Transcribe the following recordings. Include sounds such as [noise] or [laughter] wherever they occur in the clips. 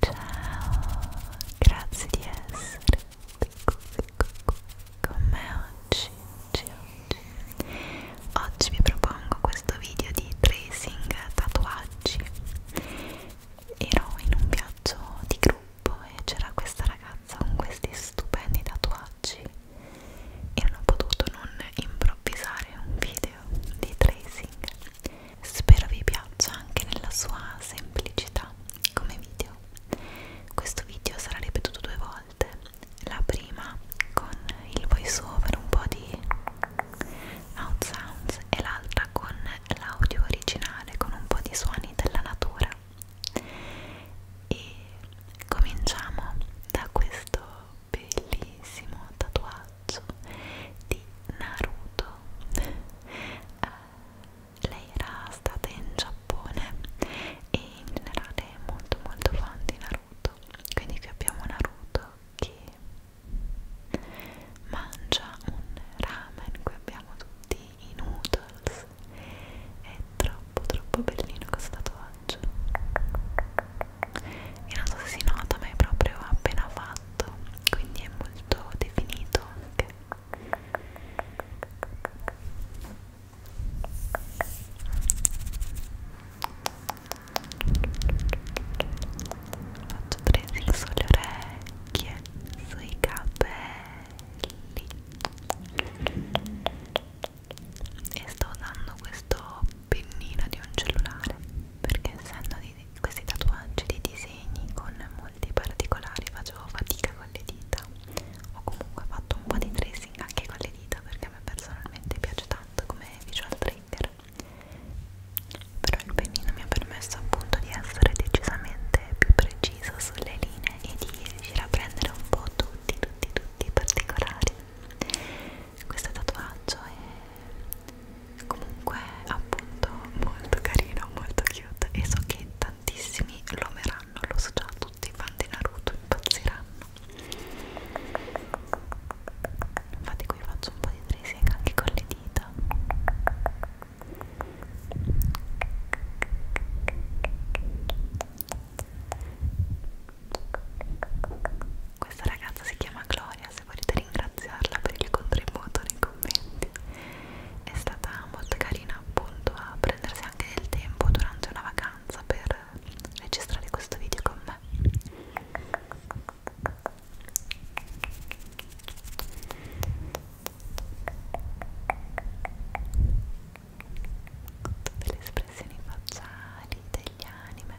Ciao, grazie di essere con me oggi, oggi, oggi. Oggi vi propongo questo video di tracing tatuaggi. Ero in un viaggio di gruppo e c'era questa ragazza con questi stupendi tatuaggi e non ho potuto non improvvisare un video video di tracing spero vi piaccia anche nella sua semplicità come video questo video sarà ripetuto due volte la prima con il voice over un po' di out sounds e l'altra con l'audio originale con un po' di suoni della natura e cominciamo da questo bellissimo tatuaggio rosso di Naruto eh, lei era stata in Giappone e in generale è molto molto fan di Naruto quindi qui abbiamo Naruto che mangia un ramen qui abbiamo tutti i noodles è troppo troppo bellino questo tatuaggio e non so se si nota ma è proprio appena fatto quindi è molto definito anche faccio pressing sulle orecchie sui capelli e sto usando questo pennino di un cellulare perché essendo di questi tatuaggi di disegni con molti particolari facevo fatica con le dita ho comunque fatto un po' di tracing anche con le dita perché a me personalmente piace tanto come visual trigger però il pennino mi ha permesso appunto di essere decisamente più precisa sulle linee e di riuscire a prendere un po' tutti tutti tutti i particolari questo tatuaggio è comunque appunto molto carino, molto cute e so che tantissimi lo ameranno, lo so già tutti i fan di Naruto impazziranno infatti qui faccio un po' di tracing anche con le dita questa ragazza si chiama Gloria, se volete ringraziarla per il contributo nei commenti è stata molto carina appunto a prendersi anche del tempo durante una vacanza per registrare questo video con me tutte le espressioni facciali degli anime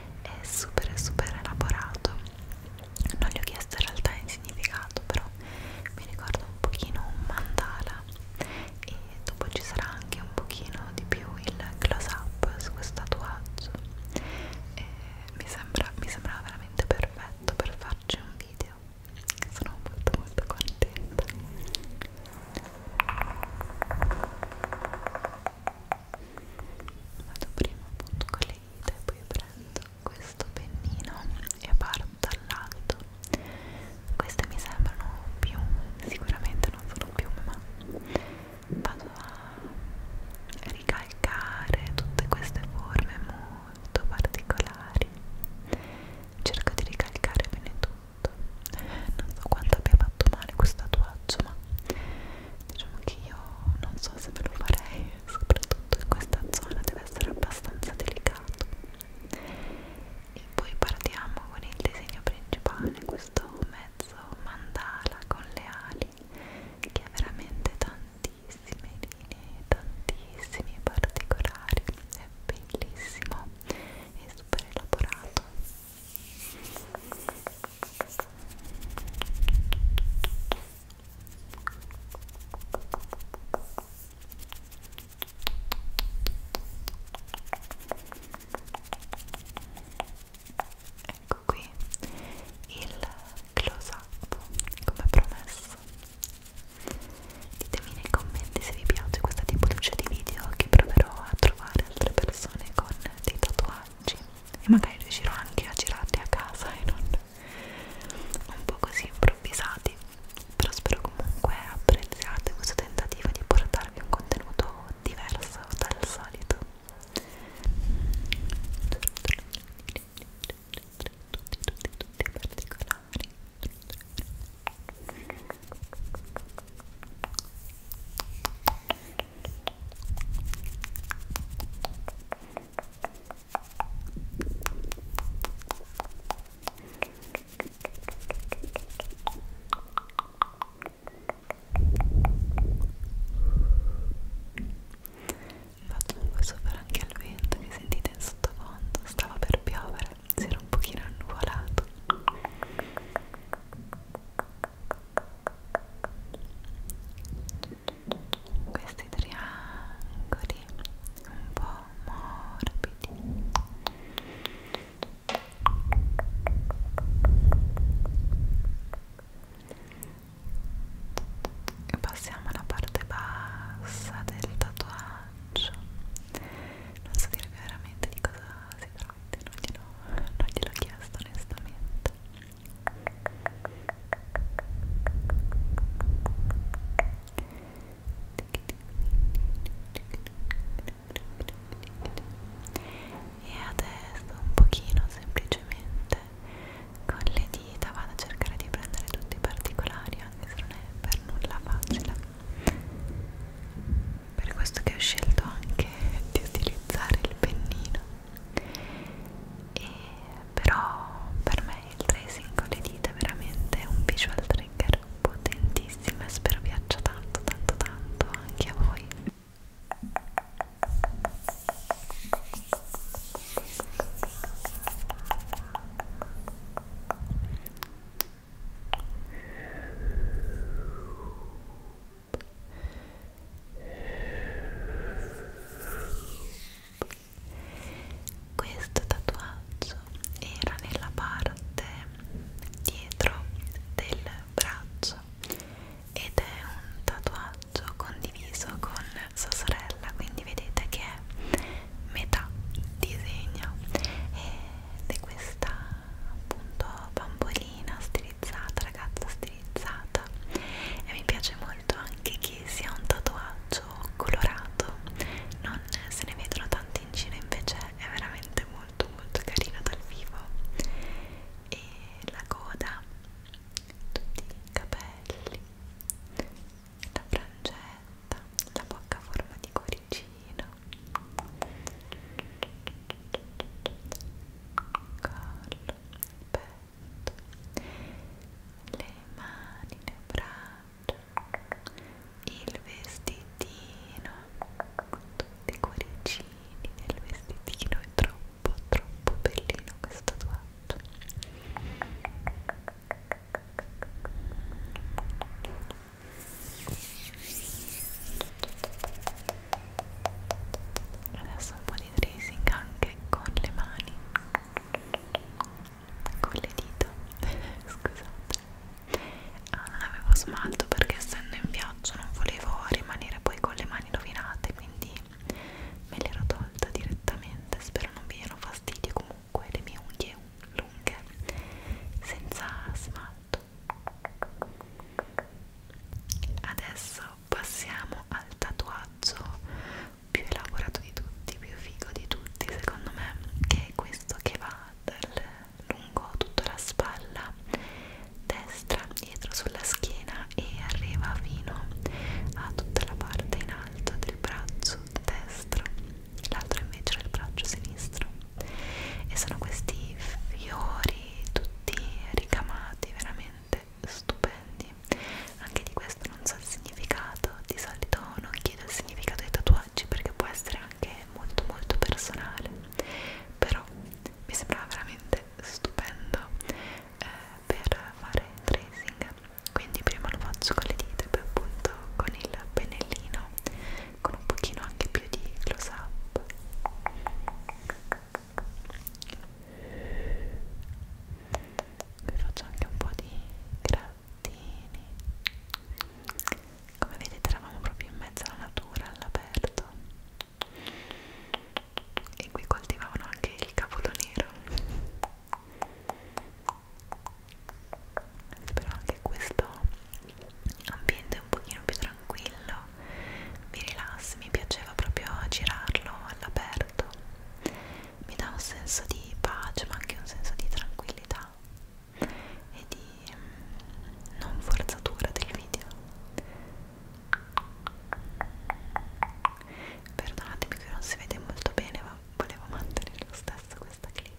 è super super elaborato non gli ho chiesto in realtà il significato però mi ricorda un pochino un mandala e dopo ci sarà anche un pochino di più il close up su questo tatuaggio e mi sembra mi sembrava veramente perfetto per farci un video sono molto molto contenta vado prima appunto con le dita e poi prendo questo pennino e parto dall'alto queste mi sembrano piume sicuramente non sono piume ma vado a ricalcare tutte queste forme molto particolari cerco di ricalcare bene tutto non so quanto abbia fatto male questo tatuaggio ma diciamo che io non so se ve lo farei soprattutto in questa zona deve essere abbastanza delicato e poi partiamo con il disegno principale questo mezzo mandala con le ali che ha veramente tantissime linee tantissimi particolari è bellissimo e super elaborato Ecco qui il close up come promesso. Ditemi nei commenti se vi piace questa tipologia di video che proverò a trovare altre persone con dei tatuaggi e magari riuscirò anche a girarli a casa e non un po' così improvvisati però spero comunque apprezziate questo tentativo di portarvi un contenuto diverso dal solito tutti tutti tutti particolari Faccio un po' sopra anche al vento che sentite in sottofondo, stava per piovere, si era un pochino annuvolato questi triangoli un po' morbidi e passiamo alla parte bassa del tatuaggio non so dirvi veramente di cosa si tratta non gliel'ho chiesto onestamente e adesso un pochino semplicemente con le dita vado a cercare di prendere tutti i particolari anche se non è per nulla facile per questo che ho scelto anche di utilizzare il pennino e però per me il tracing con le dita è veramente un visual trigger potentissimo e spero piaccia tanto tanto tanto anche a voi questo tatuaggio era nella parte dietro del braccio ed è un tatuaggio condiviso con sua sorella quindi vedete che è metà disegno ed è questa appunto bambolina stilizzata ragazza stilizzata caratterizzata e mi piace molto anche che sia un tatuaggio colorato non se ne vedono tanti in Cina invece è veramente molto molto carino dal vivo e la coda tutti i capelli la frangetta la bocca a forma di cuoricino collo petto, le mani, le braccia, il vestitino, tutti i cuoricini del vestitino, è troppo troppo bellino questo tatuaggio adesso un po' di tracing anche con le mani con le dita [laughs] scusate ah non avevo smalto perché essendo in viaggio non volevo rimanere poi con le mani rovinate quindi me l'ero tolta direttamente spero non vi diano fastidio comunque le mie unghie lunghe senza smalto adesso passiamo al tatuaggio più elaborato di tutti, più figo di tutti secondo me che è questo che va dal lungo tutta la spalla destra dietro sulla schiena e arriva fino a tutta la parte in alto del braccio destro l'altro invece del braccio sinistro e sono questi fiori tutti ricamati veramente veramente stupendi anche di questo non so il significato di solito non chiedo il significato dei tatuaggi perché può essere anche molto molto personale però mi sembrava veramente stupendo eh, per fare tracing quindi prima lo faccio con le dita e poi appunto con il pennellino con un pochino anche più di close up vi faccio anche un po' di grattini come vedete eravamo proprio in mezzo alla natura all'aperto e qui coltivavano anche il cavolo nero spero anche questo ambiente un pochino più tranquillo tranquillo, mi rilassi, mi piaceva proprio girarlo all'aperto, mi dà un senso di pace ma anche un senso di tranquillità e di mm, non forzatura del video. Perdonatemi che non si vede molto bene ma volevo mantenere lo stesso questa clip.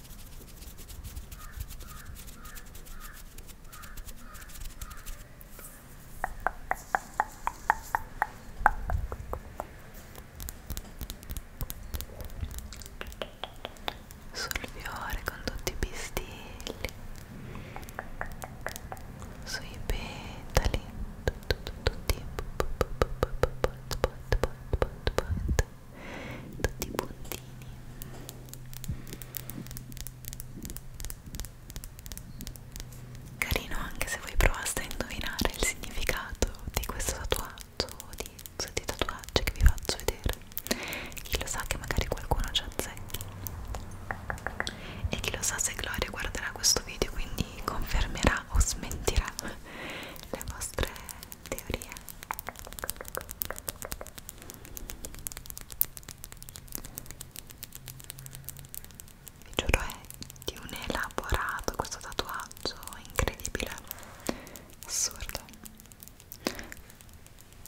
sul fiore con tutti i pistilli sui petali tutti point point point point tutti i puntini carino anche se voi provaste a indovinare il significato di questo tatuaggio o di tutti i tatuaggi che vi faccio vedere chi lo sa che magari qualcuno ci azzecchi e chi lo sa se Gloria guarderà questo video quindi confermerà o smentirà le vostre teoria vi giuro è di un elaborato questo tatuaggio incredibile assurdo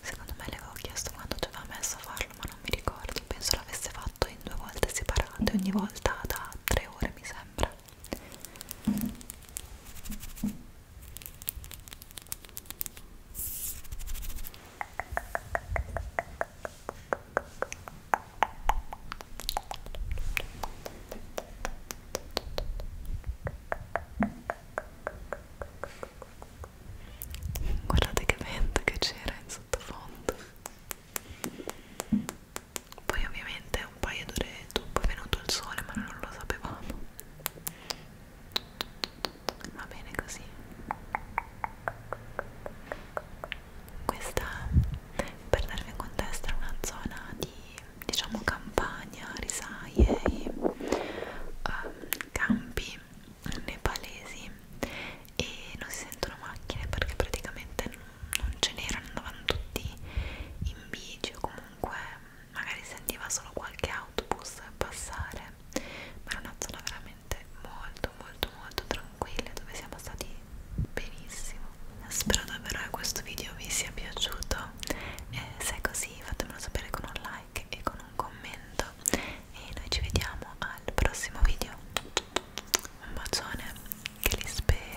secondo me l'avevo chiesto quando ci aveva messo a farlo ma non mi ricordo penso l'avesse fatto in due volte separate ogni volta da tre ore mi sembra Guardate che vento che c'era in sottofondo. Poi ovviamente un paio d'ore dopo è venuto il sole ma non lo sapevamo va bene così questa per darvi contesto è una zona di diciamo campagna risaie e um, campi nepalesi e non si sentono macchine perché praticamente non ce n'erano andavano tutti in bici o comunque magari sentiva solo qualche autobus passare, ma era una zona veramente molto molto molto tranquilla dove siamo stati benissimo. Spero davvero che questo video vi sia piaciuto e se è così fatemelo sapere con un like e con un commento e noi ci vediamo al prossimo video. Un bacione che li spera.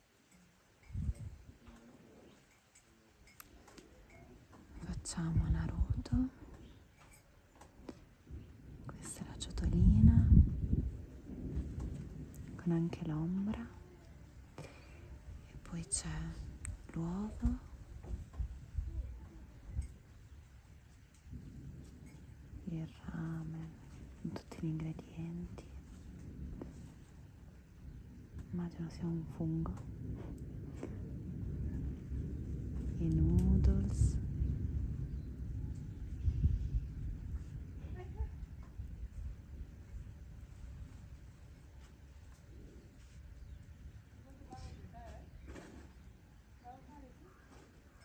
Facciamo Naruto. Questa è la ciotolina con anche l'ombra e poi c'è l'uovo. Il fame, con tutti gli ingredienti. Immagino sia un fungo. I noodles.